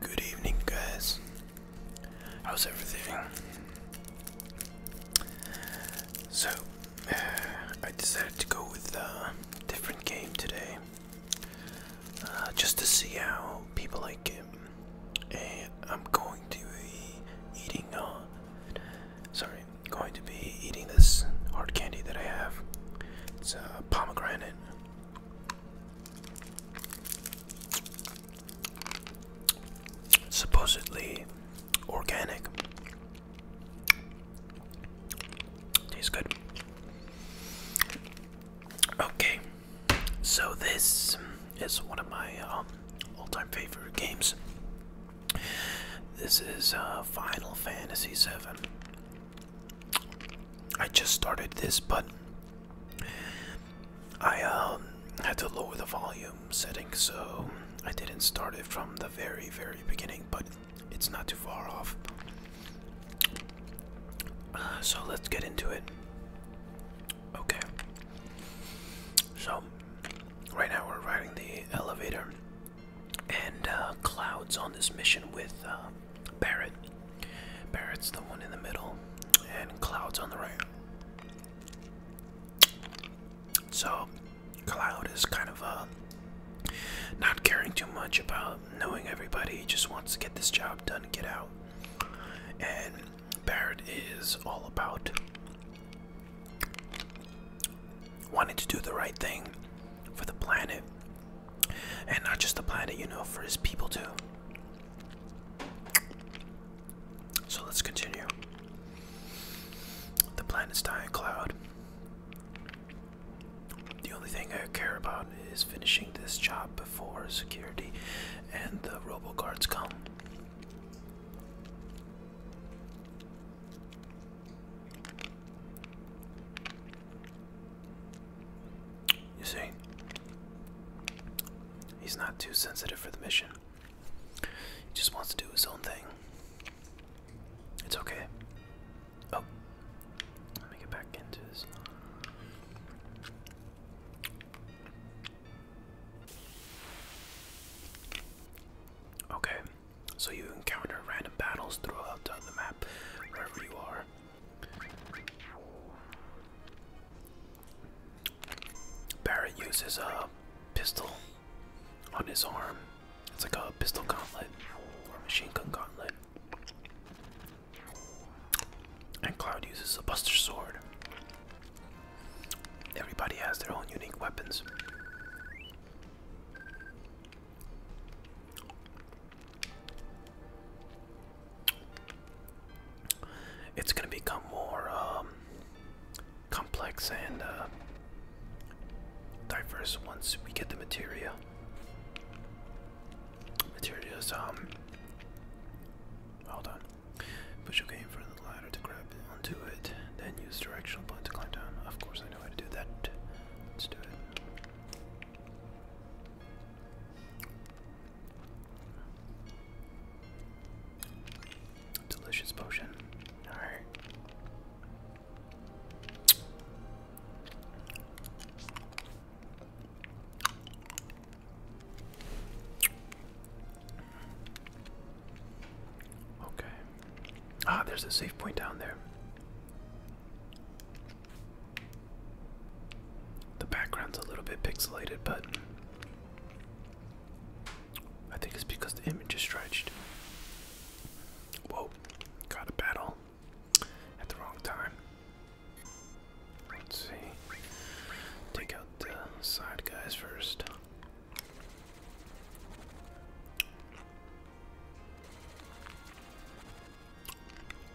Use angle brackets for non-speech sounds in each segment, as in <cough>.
Good evening, guys. How's everything? So, uh, I decided to go with a different game today, uh, just to see how people like it. And I'm going to be eating. Uh, sorry, going to be eating this hard candy that I have. It's a pomegranate. Supposedly organic. Tastes good. Okay, so this is one of my um, all-time favorite games. This is uh, Final Fantasy VII. I just started this, but I um, had to lower the volume setting, so I didn't start it from the very, very beginning, but it's not too far off. so let's get into it. Okay. So, right now we're riding the elevator, and uh, Cloud's on this mission with um, Barrett. Barrett's the one in the middle, and Cloud's on the right. So, Cloud is kind of a uh, not caring too much about knowing everybody. He just wants to get this job done and get out. And Barrett is all about wanting to do the right thing for the planet and not just the planet, you know, for his people too. So let's continue. The planet's dying cloud. The only thing I care about is finishing this job before security and the robo guards come. You see, he's not too sensitive for the mission. He just wants to do his own thing. It's okay. Oh, let me get back into this. Okay, so you encounter random battles throughout the map wherever you are. Barrett uses a pistol on his arm. It's like a pistol gauntlet or machine gun gauntlet. And Cloud uses a buster sword. Everybody has their own unique weapons. It's going to become more um, complex and uh, diverse once we get the material. Materials, um, hold on. Push your game for the ladder to grab onto it, then use directional point to climb down. Of course, I know how to do that. Let's do it. Delicious potion. Alright. Okay. Ah, there's a safe point down there. The background's a little bit pixelated, but I think it's because the image is stretched. Whoa, got a battle at the wrong time. Let's see. Take out the side guys first.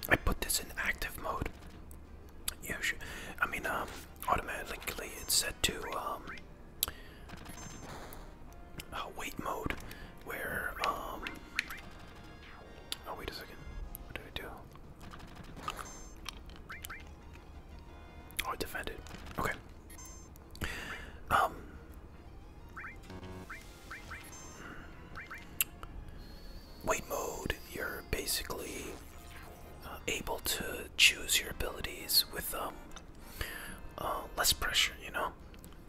I put this in active mode. Yeah, I mean, um, automatically it's set to um, uh, wait mode, where um, oh wait a second, what did I do? Oh, I defended. Okay. Um, Wait mode, you're basically uh, able to choose your abilities with um, uh, less pressure, you know,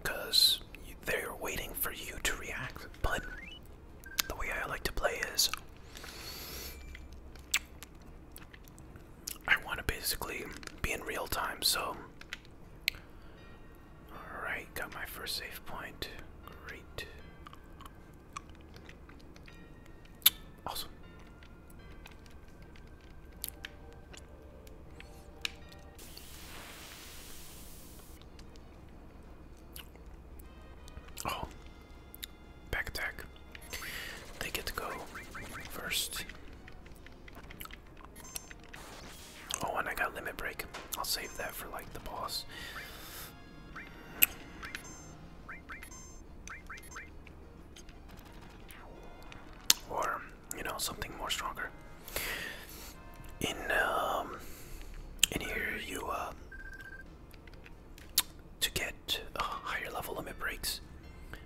because they're waiting for you to react. But the way I like to play is I want to basically be in real time, so Alright, got my first save point. Great. Awesome. Oh. Back attack. They get to go first. Oh, and I got limit break. I'll save that for like the boss. Or, you know, something more stronger. In um in here you uh to get uh, higher level limit breaks.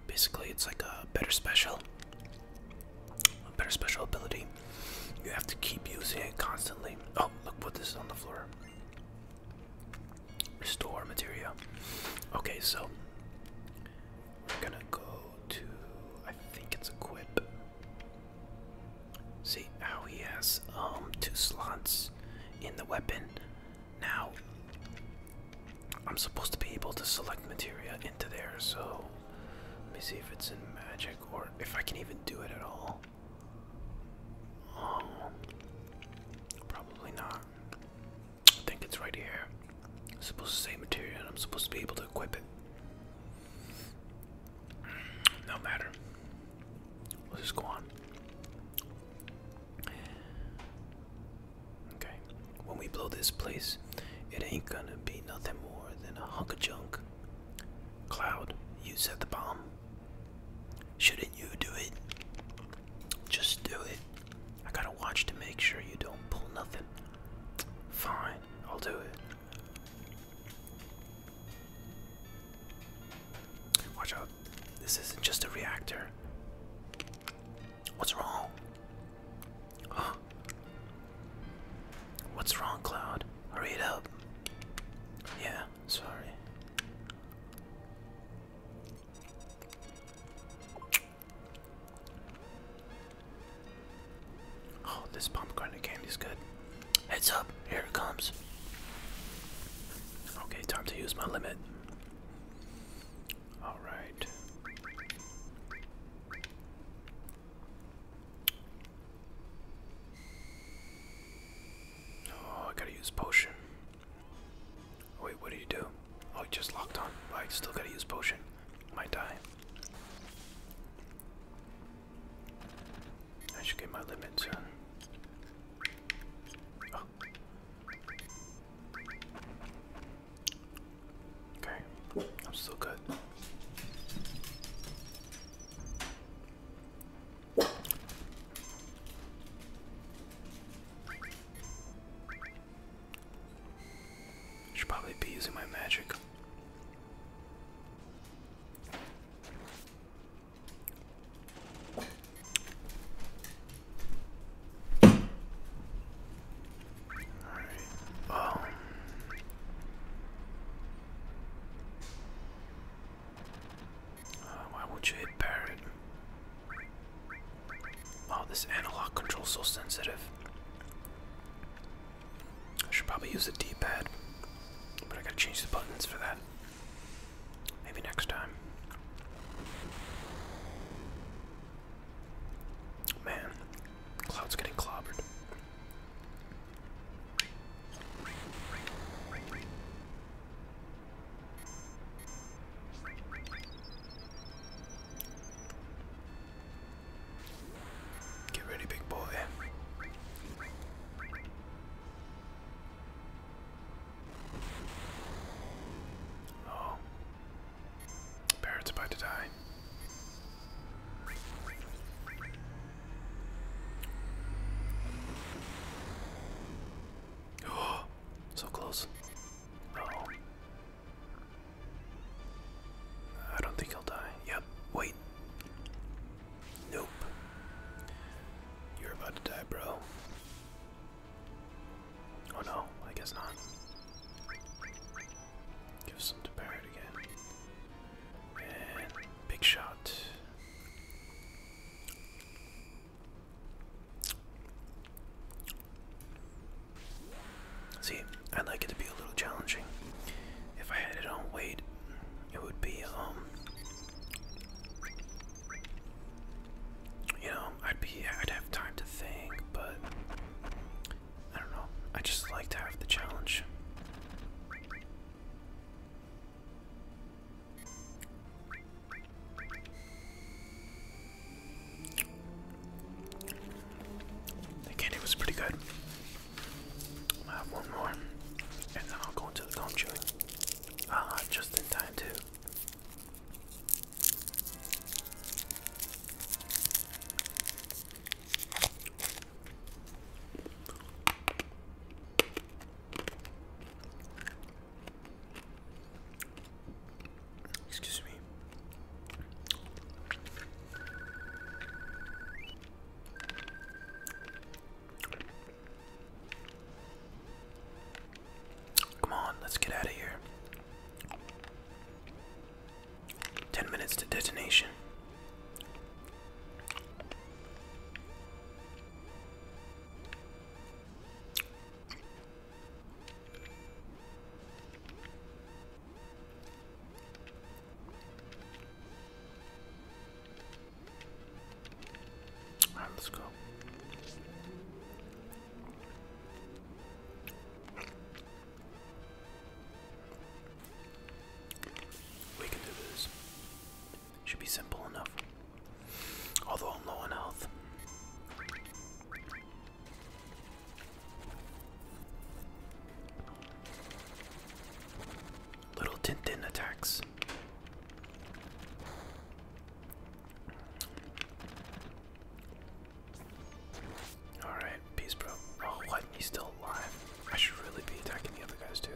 Basically it's like a better special a better special ability. You have to keep using it constantly. Oh, look what this is on the floor. Restore material. Okay, so we're gonna go to I think it's equip. See how he has um two slots in the weapon. Now I'm supposed to be able to select materia into there, so let me see if it's in magic or if I can even do it at all. Um, probably not. I think it's right here. supposed to say material I'm supposed to be able to equip it. No matter. Let's just go on. Okay. When we blow this place, it ain't gonna be nothing more than a hunk of junk. Cloud, you set the bomb. Shouldn't you do it? Just do it. I gotta watch to make sure you don't pull nothing. Fine, I'll do it. Watch out. This isn't just a reactor. What's wrong? What's wrong, Cloud? Hurry it up. Yeah, sorry. Oh, this pomegranate candy is good. Heads up, here it comes. Okay, time to use my limit. Alright. Oh, I gotta use potion. Wait, what do you do? Oh, it just locked on. I still gotta use potion. Might die. I should get my limit soon. Okay, I'm still good. Should probably be using my magic. Alright, uh, why will you hit Parrot? Oh, this analog control's so sensitive. I should probably use a pad but I gotta change the buttons for that. Maybe next time. Man, Cloud's getting clobbered. Get ready, big boy. Oh. Parrot's about to die. Oh, <gasps> so close. oh. I don't think I'll die. Yep, wait. Nope. You're about to die, bro. Oh no, I guess not. Give some to Barrett again. And big shot. See, I'd like it to be a little challenging. If I had it on weight, it would be, um, you know, I'd be, I'd have time to think, but I don't know. I just like to have the challenge. The candy was pretty good. i have one more, and then I'll go into the cone chewing. Ah, uh, just in time too. Excuse me. Come on, let's get out of here. Ten minutes to detonation. right, let's go. We can do this. Should be simple enough. Although I'm low on health. Little Tintin attacks. Alright, peace, bro. Oh, what? He's still alive. I should really be attacking the other guys, too.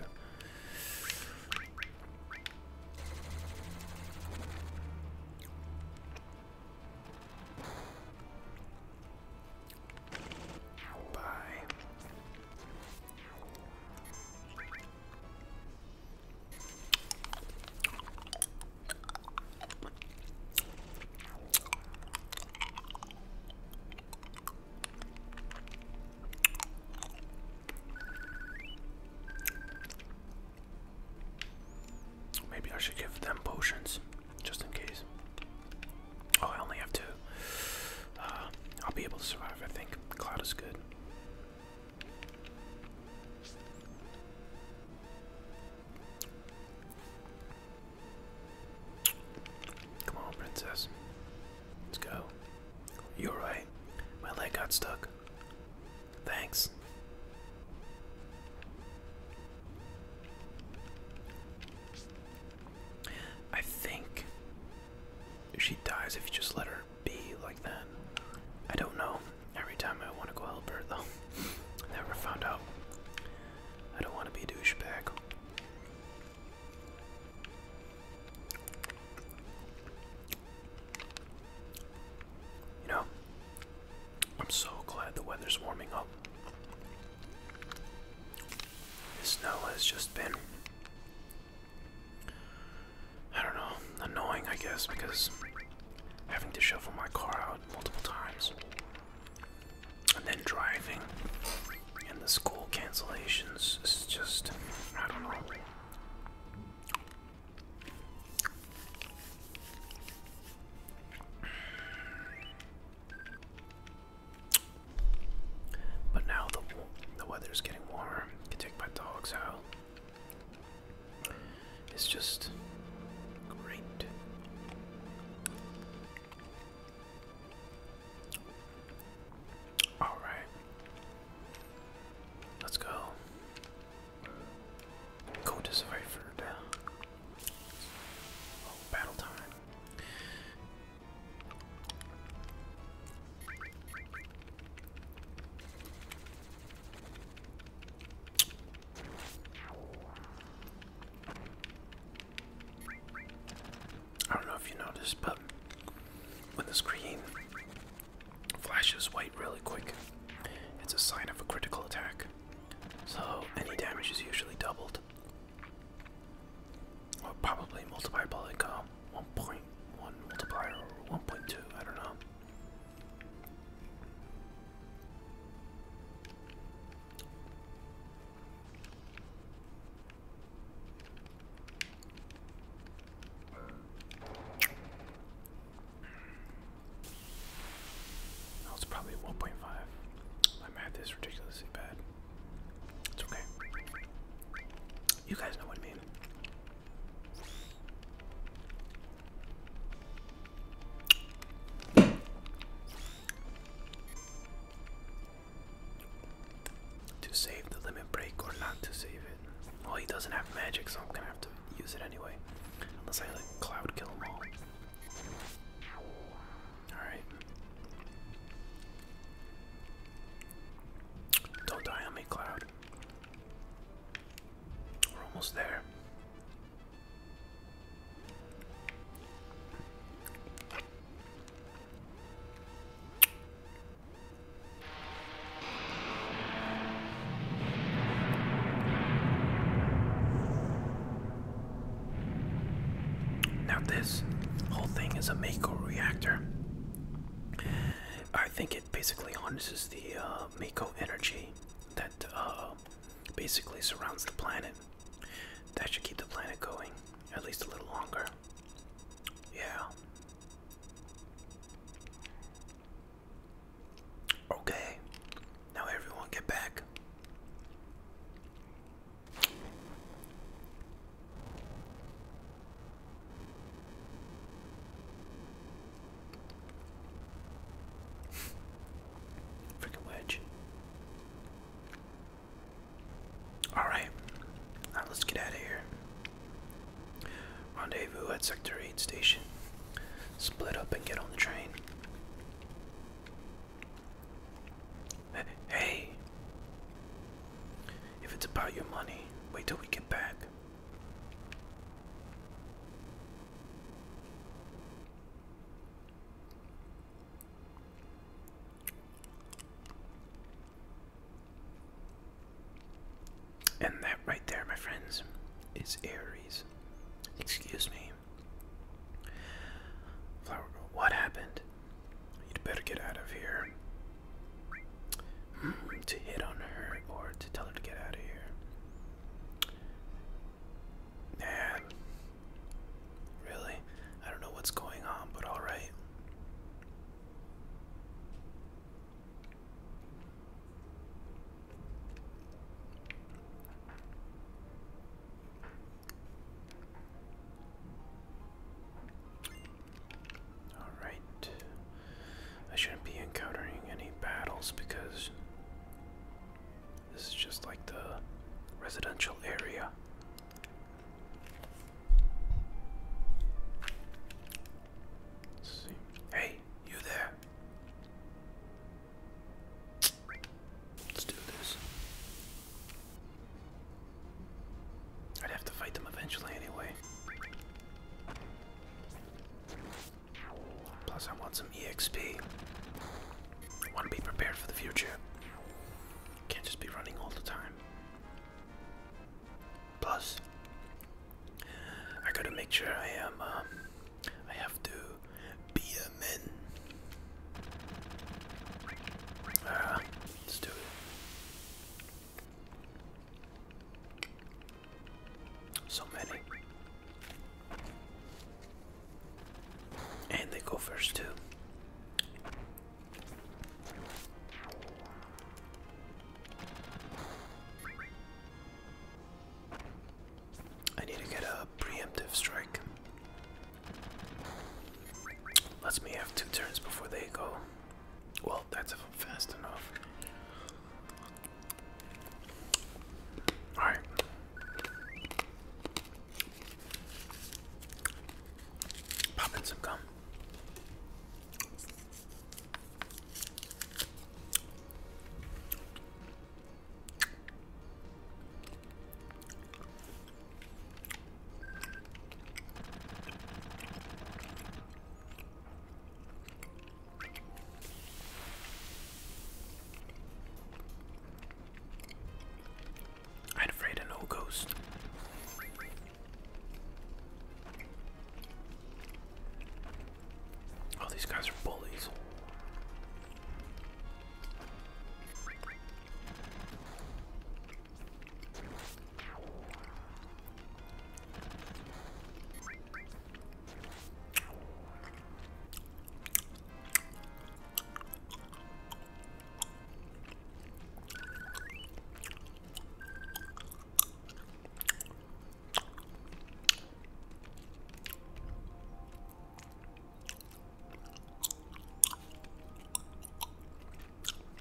Bye. Maybe I should give them potions just in case. Oh, I only have two. Uh, I'll be able to survive, I think. Cloud is good. Come on, princess. Let's go. You're right. My leg got stuck. Thanks. I think she dies if you just let her be like that. I don't know. Every time I want to go help her, though. <laughs> Never found out. I don't want to be a douchebag. You know, I'm so glad the weather's warming up. The snow has just been, I don't know, annoying, I guess, because having to shovel my car out multiple times. And then driving and the school cancellations is just, I don't know. But now the the weather's getting warmer. I can take my dogs out. It's just great. All right. Let's go. Go to Survivor. Oh, battle time. I don't know if you noticed, but when the screen flashes white really quick, it's a sign of a critical attack. So any damage is usually doubled. Or probably multiplied by like uh, 1.1 multiplier or 1.2, I don't know. That's probably 1.5. My math is ridiculously bad. It's okay. You guys know what I mean. To save the limit break or not to save it. Well, he doesn't have magic, so I'm gonna have to use it anyway. Unless I like cloud kill him all. Alright. Don't die on me, Cloud. We're almost there. Now, this whole thing is a Mako reactor. I think it basically harnesses the uh, Mako energy that uh, basically surrounds the planet. That should keep the planet going at least a little longer. Yeah. Okay. Now everyone get back. Freaking wedge. Alright. Now let's get out of here. Rendezvous at Sector 8 Station. Split up and get on the train. Hey! If it's about your money, wait till we get back. And that right there, my friends, is Aries. Excuse me. Flower girl, what happened? You'd better get out of here. Hmm, to hit on her or to tell her to get out of here. Man. Really? I don't know what's going on, but alright. Alright. I shouldn't be encountering any battles because this is just like the residential area. Hey, you there? Let's do this. I'd have to fight them eventually anyway. Plus, I want some EXP. I want to be prepared for the future. Can't just be running all the time. Plus, I gotta make sure I am. Um, I have to be a man. Uh, let's do it. So many. And they go first, too. I need to get a preemptive strike. Lets me have two turns before they go. Well, that's fast enough. All right. Pop in some gum. I'd afraid an old ghost. Oh, these guys are bullies.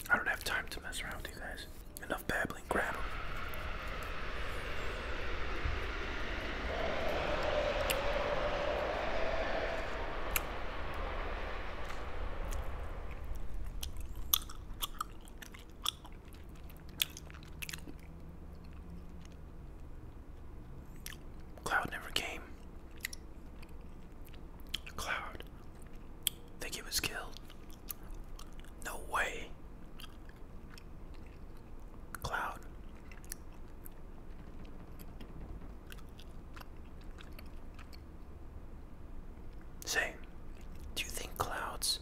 I don't have time to mess around with you guys. Enough babbling, grab Cloud never came. Cloud. Think he was killed. No way. Cloud. Say, do you think Cloud's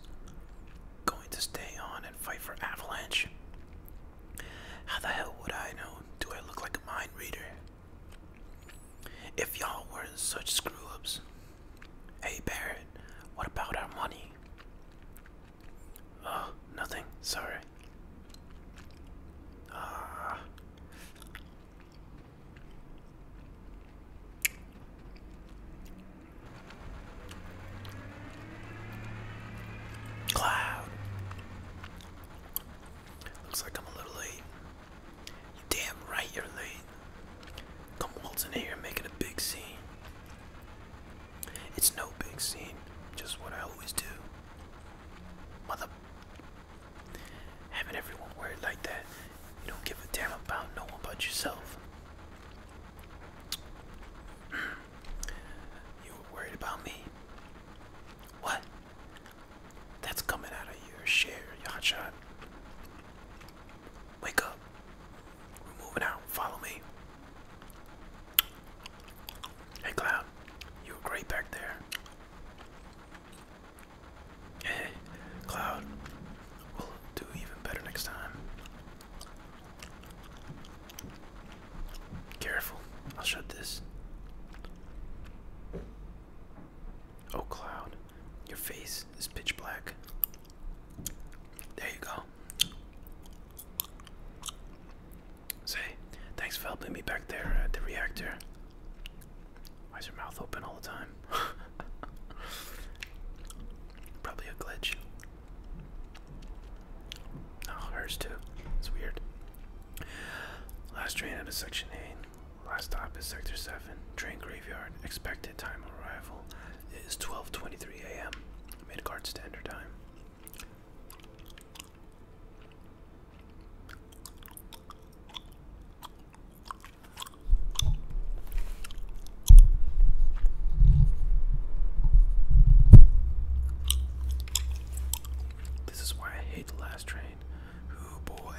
going to stay on and fight for Avalanche? How the hell would I know? Do I look like a mind reader? If y'all were such screw ups. Hey Barrett, what about our money? Oh, nothing. Sorry. Ah. Cloud. Looks like I'm a little late. You damn right you're late. Come waltzing here, making a big scene. It's no big scene, just what I always do. Mother. Having everyone worried like that, you don't give a damn about no one but yourself. <clears throat> you were worried about me. What? That's coming out of your share, Yachad. Wake up. We're moving out. Follow me. Hey, Cloud. You were great back there. Hey, Cloud. We'll do even better next time. Careful. I'll shut this. Oh, Cloud. Your face is pitch black. There you go. Say, thanks for helping me back there at the reactor. Why is your mouth open all the time? <laughs> Probably a glitch. Oh, hers too. It's weird. Last train out of Section 8. Last stop is Sector 7. Train graveyard. Expected time of arrival is 12.23 a.m. Midgard Standard Time. This is why I hate the last train. Oh boy.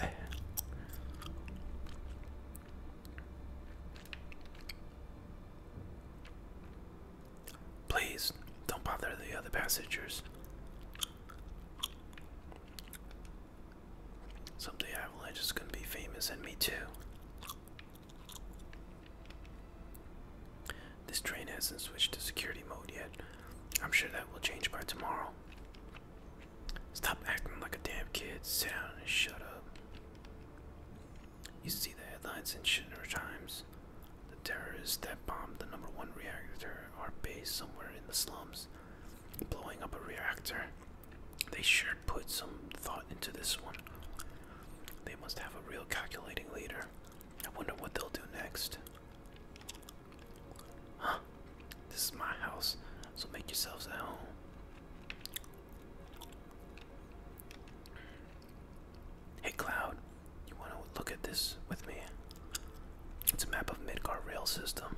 Please don't bother the other passengers. Someday Avalanche is gonna be famous and me too. This train hasn't switched to security mode yet. I'm sure that will change by tomorrow. Stop acting like a damn kid. Sit down and shut up. You see the headlines in Shinner Times. The terrorists that bombed the number one reactor are based somewhere in the slums. Blowing up a reactor. They sure put some thought into this one. They must have a real calculating leader. I wonder what they'll do next. Huh? This is my house, so make yourselves at home. Hey Cloud, you wanna look at this with me? It's a map of Midgar rail system.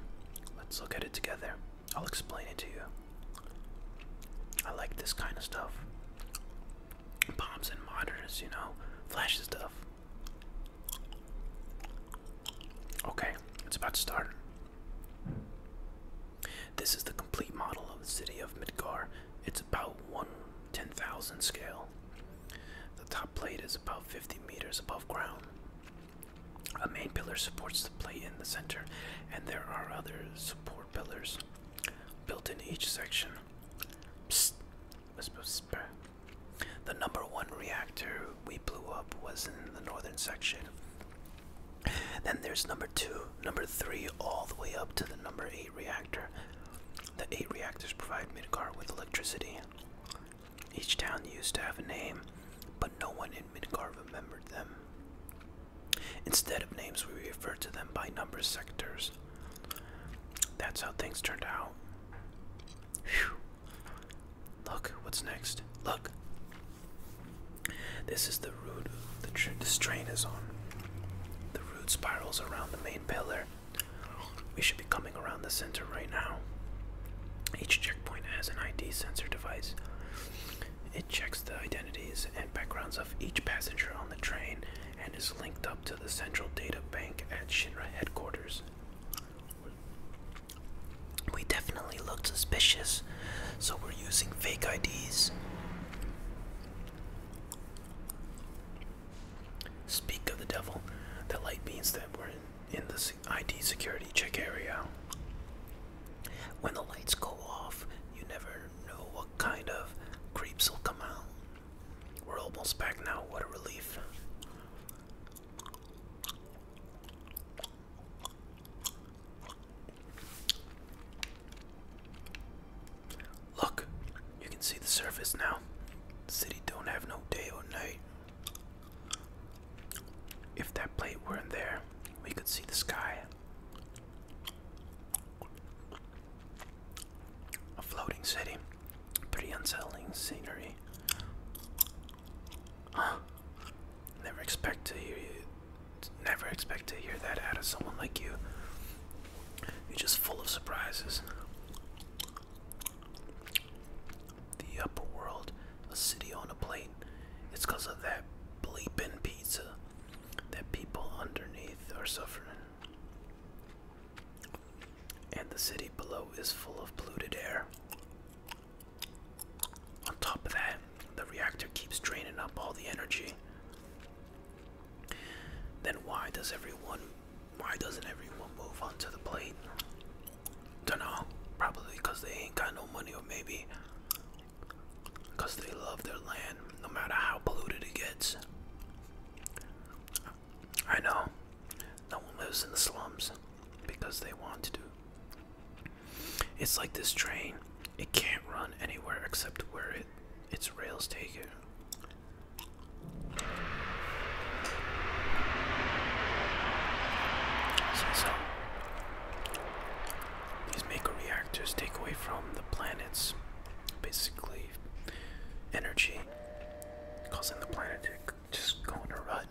Let's look at it together. I'll explain it to you. I like this kind of stuff. Bombs and monitors, you know, flashy stuff. Okay, it's about to start. This is the complete model of the city of Midgar. It's about 1 10,000 scale. The top plate is about 50 meters above ground. A main pillar supports the plate in the center, and there are other support pillars built in each section. The number one reactor we blew up was in the northern section. Then there's number two, number 3 all the way up to the number 8 reactor. The 8 reactors provide Midgar with electricity. Each town used to have a name, but no one in Midgar remembered them. Instead of names, we refer to them by number sectors. That's how things turned out. Whew. Look, what's next? Look! This is the route the tr train is on. The route spirals around the main pillar. We should be coming around the center right now. Each checkpoint has an ID sensor device. It checks the identities and backgrounds of each passenger on the train and is linked up to the central data bank at Shinra headquarters. We definitely look suspicious, so we're using fake IDs. Speak of the devil, the light means that we're in, in the ID security check area. When the lights go off, you never know what kind of creeps will come out. We're almost back now, what a relief. Look, you can see the surface now. city don't have no day or night. If that plate weren't there, we could see the sky. A floating city. Pretty unsettling scenery. Huh. Never expect to hear you never expect to hear that out of someone like you. You're just full of surprises. The upper world, a city on a plate. It's because of that bleeping pizza that people underneath are suffering. And the city below is full of polluted air. On top of that, the reactor keeps draining up all the energy. Then why does everyone why doesn't everyone move onto the plate? Dunno. Probably because they ain't got no money or maybe because they love their land no matter how polluted it gets. I know. No one lives in the slums because they want to. It's like this train. It can't run anywhere except where it its rails taken. so these mega reactors take away from the planets basically energy, causing the planet to just go in a rut.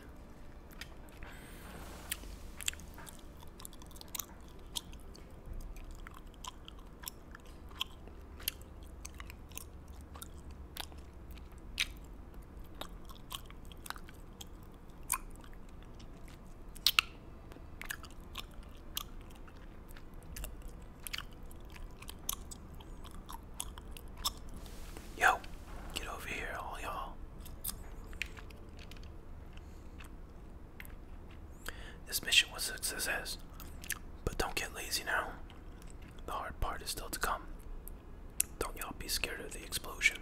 Yo, get over here, all y'all. This mission was a success, but don't get lazy now. The hard part is still to come. Don't y'all be scared of the explosion.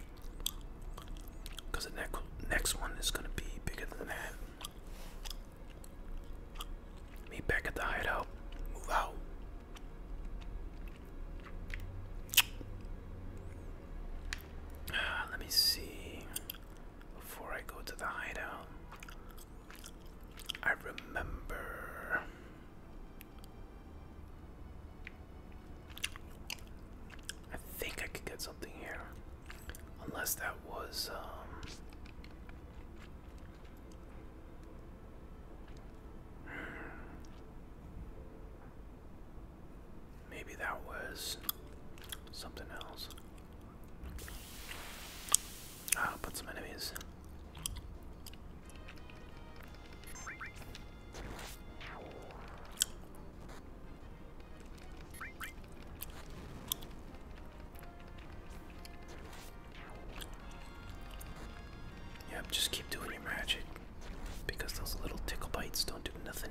Because the next next one is going to be bigger than that. Meet back at the hideout. Move out. Ah, let me see before I go to the hideout. I remember I think I could get something here. Unless that was um, Maybe that was something else. i put some enemies. Yep, just keep doing magic because those little tickle bites don't do nothing.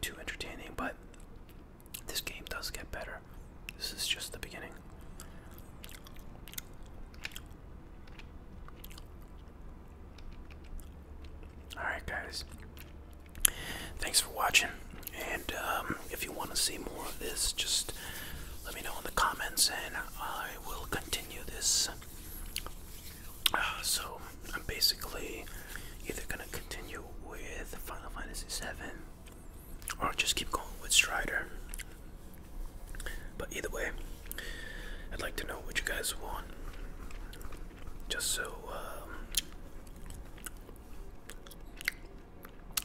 too entertaining, but this game does get better. This is just the beginning. Alright, guys. Thanks for watching. And um, if you want to see more of this, just let me know in the comments and I will continue this. Uh, so, I'm basically either going to continue with Final Fantasy VII or just keep going with Strider. But either way, I'd like to know what you guys want, just so um,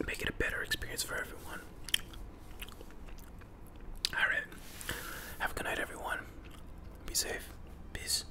make it a better experience for everyone. All right, have a good night, everyone. Be safe. Peace.